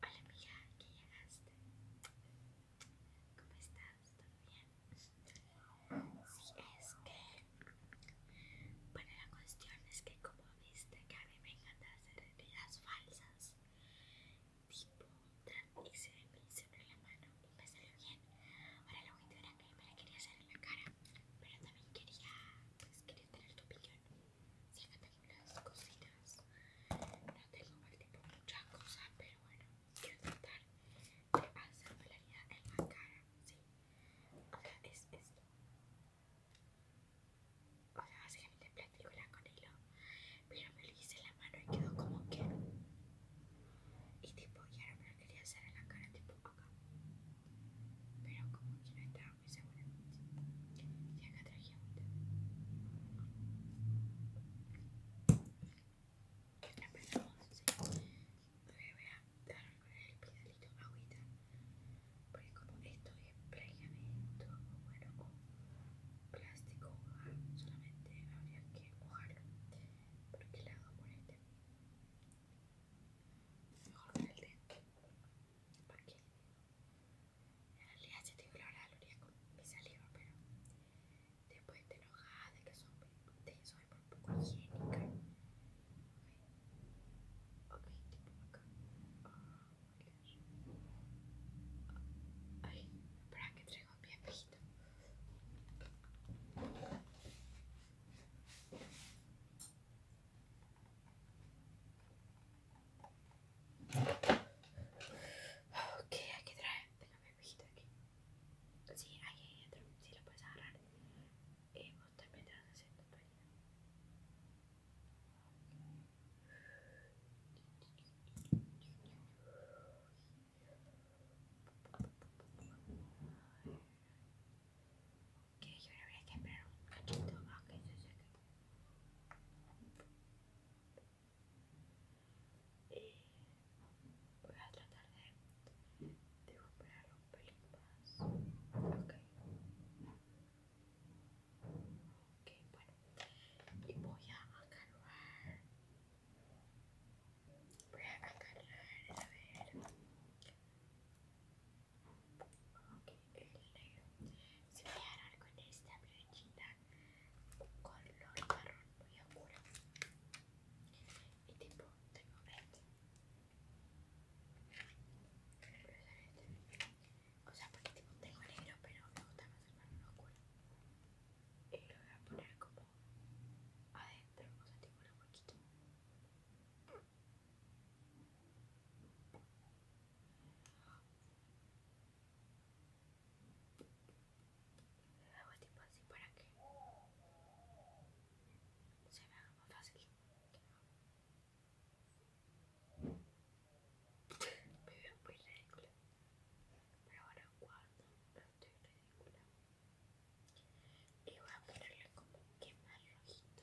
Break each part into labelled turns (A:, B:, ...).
A: Hola amiga, qué llegaste. ¿Cómo estás? ¿Todo bien? Sí, es que... Bueno, la cuestión es que como viste que a mí me encanta hacer heridas falsas. Tipo, y se me en la mano y me salió bien. Ahora lo único era que me la quería hacer en la cara, pero también quería, pues quería tener tu opinión tengo las cositas. No tengo mal tipo muchas cosas, pero bueno, quiero tratar de hacer vida en la cara, ¿sí? O sea, es esto. O sea, básicamente platicola con hilo, pero me lo hice en la mano y quedó como que. Y tipo, ya ahora me lo quería hacer en la cara, tipo acá. Pero como que no estaba carro seguramente. Y acá traje agüita Empezamos, sí. Todavía voy a dar con el pedalito agüita. Porque como esto es pegamento, bueno, con plástico, solamente habría que mojarlo. Porque le hago por Mejor con el dedo. Para que en realidad te tengo la hora de la con mi saliva, pero después te enojas de que soy, de, soy por poco higiénica. Okay. ok, tipo acá. Ah, Ay, espera que traigo mi espejito. Ok, I trae, déjame pijita aquí. Sí, ahí hay otro, si lo puedes agarrar. Eh, Ok, yo ahora voy a quebrar un cachito a que se seque. Y voy a tratar de, de recuperar un pelín más. Ok. Ok, bueno. Y voy a agarrar. Voy a agarrar, a ver. Ok el negro. Se algo con esta Con color marrón muy oscuro. Y tipo, tengo verde O sea, porque tipo tengo negro, pero me gusta más el marrón oscuro. Y lo voy a poner como adentro, o sea, tipo un poquito me hago tipo así para que se me más fácil. Me veo muy ridícula. Pero ahora guardo, no estoy ridícula. Y voy a ponerle como que más rojito.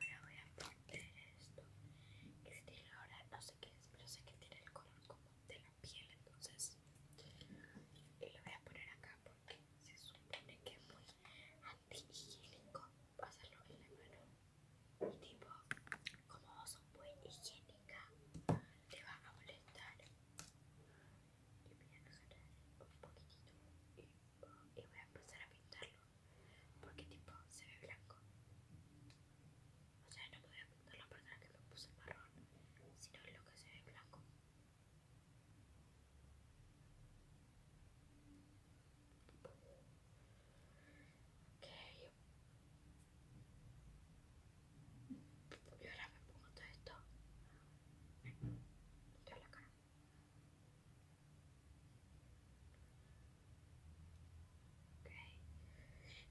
A: Y ahora voy a poner esto. Que tiene ahora, no sé qué es, pero sé que tiene el color como de la piel, entonces. Y eh, lo voy a poner acá porque se supone que es muy antihigiénico pasarlo en la mano. Y tipo, como son muy higiénica, te va a molestar. Y voy a exagerar un poquitito y voy a empezar a pintarlo porque tipo se ve blanco. O sea, no podía poner la parte que me puse marrón, sino lo que se ve blanco. yo Y ahora me pongo todo esto. Toda la cara. Ok,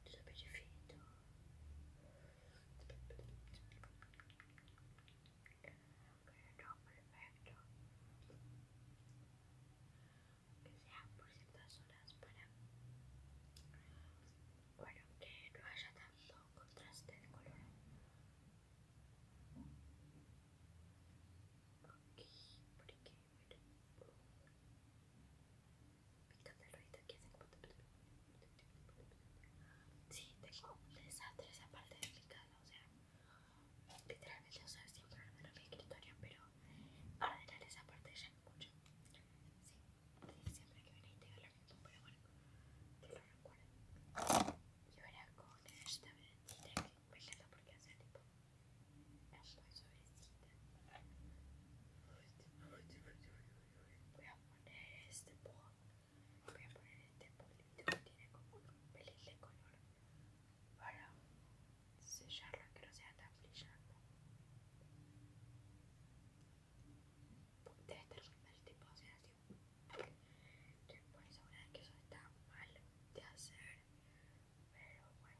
A: tutto bene finito. Ok, no, perfecto. Que sea por ciertas horas para... Bueno, que no haya tanto contraste de color. Okay, por aquí. Sí, tengo un desastre esa parte de mi casa, o sea, literalmente, o sea, siempre ordeno mi escritorio, pero ordenar esa parte ya es mucho. Sí, siempre que venís te digo lo mismo, pero bueno, que lo recuerdo. Y ahora con esta vez quella perché se tipo è un po' sovvestita puoi apponere este buono puoi apponere este bollito tiene como pelirle color para sellarla que no sea tan brillante debe terminar tipo o sea tipo que puedes asegurar que eso está mal de hacer pero bueno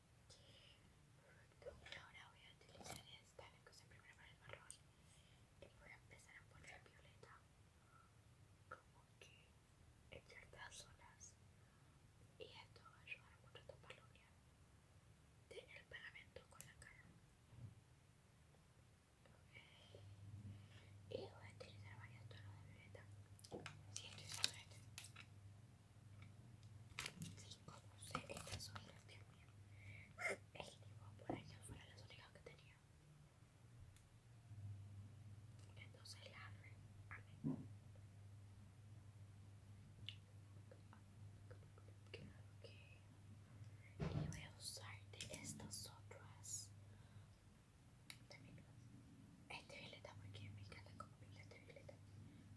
A: y ahora voy a utilizar esta la que usé primero para el marrón y voy a empezar a poner violeta como que en ciertas zonas y esto va a ayudar mucho a tapar la el del pegamento con la cara y voy a utilizar varios tonos de violeta si Sí, como sé, estas orejas, también mío. El tipo por años fueron las orejas que tenía. Entonces la arre. Amén. Creo que y voy a usar de estas otras. este violeta porque me encanta como este violeta violeta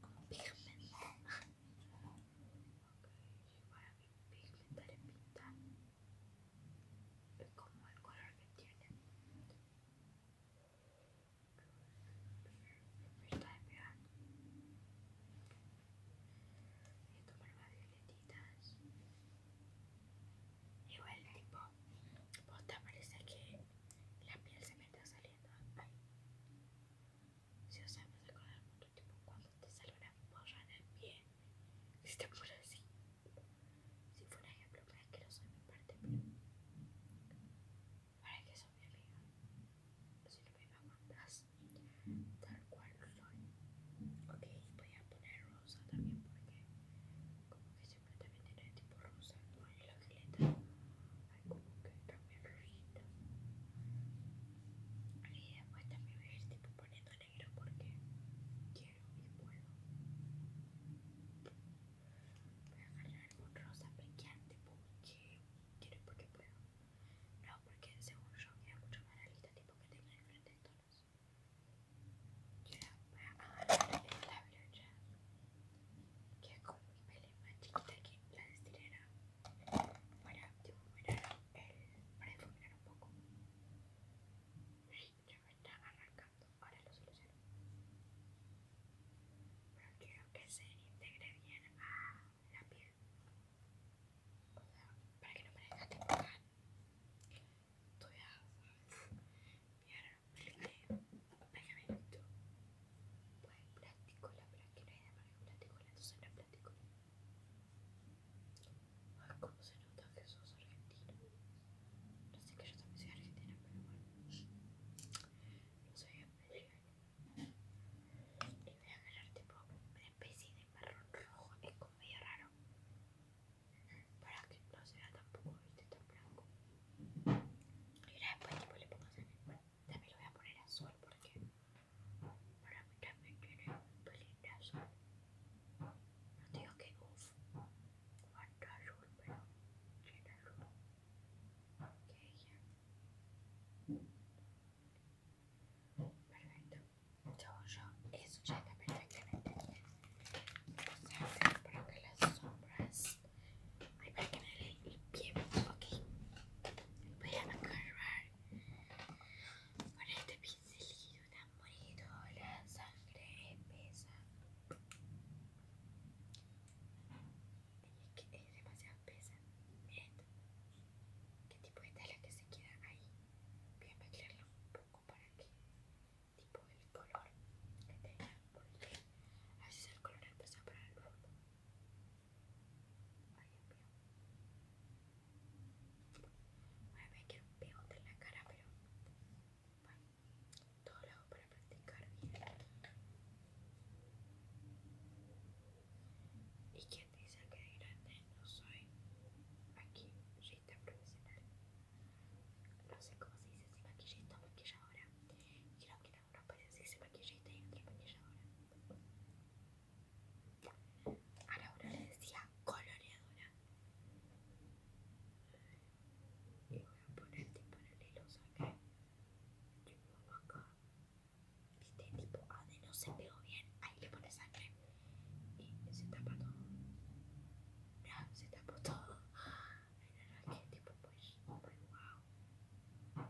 A: como pigmento. okay, igual mí pigmentar en pintar, es como el color que tiene. Me está despegando. Voy a tomar más violetitas. Igual tipo, te parece que la piel se me está saliendo. Ay. Si os sabes del mucho tipo cuando te sale una borra en el pie, si te pone así. Si fuera un ejemplo para que lo soy mi parte, bien para que soy mi amiga. Si no me así, tal cual soy. Ok, voy a poner rosa también porque como que siempre también tiene tipo rosa en la caleta hay como que también rojita y después también voy a ir tipo poniendo negro porque quiero y puedo voy a agarrar un rosa brillante porque quiero porque puedo no porque seguro yo es mucho más realista tipo que tenga diferentes tonos a agarrar el que con mi pele más chiquita aquí la destilera para difuminar el para difuminar un poco ya me está arrancando ahora lo soluciono pero quiero que se integre bien a la piel o para que no me que Tú no pergamento. Pues plástico, la verdad que no hay de más que plástico, entonces no es plástico. Ay, cómo se nota que sos argentino. No sé que yo también soy argentina, pero bueno. No soy especial. Y voy a agarrar tipo una especie de marrón rojo, es como medio raro. Para que no sea tampoco, viste, tan blanco. Y ahora después le pongo sal. también lo voy a poner azul porque para mí también tiene un pelín de No digo que uff, cuánto azul, pero tiene azul. Ok, ya. Perfecto. Según yo, eso ya está para que las sombras Ay, para que pie. Voy a agarrar con este pincelito tan bonito. La sangre pesa, Es que es demasiado pesa, este. ¿Qué tipo de tela que se queda ahí? Voy a mezclarlo un poco para que tipo el color que tenga porque así es el color empezó para el fondo por ejemplo. Bueno, voy a un pegote en la cara, pero bueno, todo lo hago para practicar bien. ¿Y quién dice que de grande no soy? Aquí, maquillista profesional. No sé cómo se dice si maquillista o maquilladora. No parece payasísima maquillita y otra maquilladora. A la le decía coloreadora. Y voy a ponerte paralelos acá. Este tipo acá. Viste, tipo AD no se pegó bien. Ahí le pones sangre. Y se tapa todo. se tapó todo. la que este tipo, pues, Muy wow.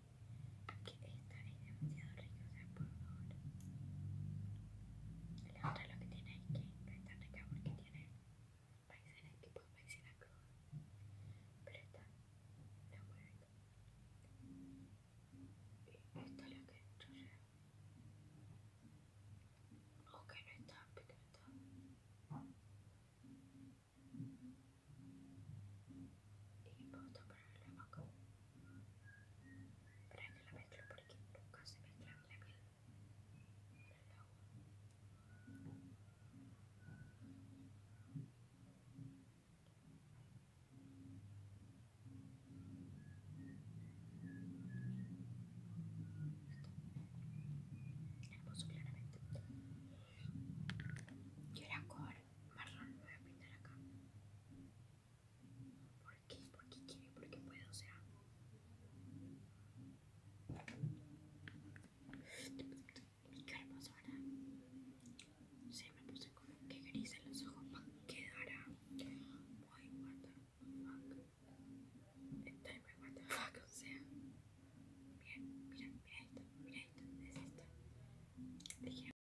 A: que esta es demasiado rica, por favor. La otra lo que tiene es que no es tan rica porque tiene maicena tipo maicena cruda, pero esta no es muy rica. Esto es lo que yo llevo. Ok, no porque no está y me gusta el la que la porque nunca se mezcla la el agua claramente y marrón voy a pintar acá ¿Por qué? Porque, porque quiere, qué puedo o sea. Mi hermoso, ¿verdad? se me puse como que gris en los ojos va quedará a. Why, what the fuck? muy what the fuck, o sea. Mira, mira, mira esto, miren esto, es esto.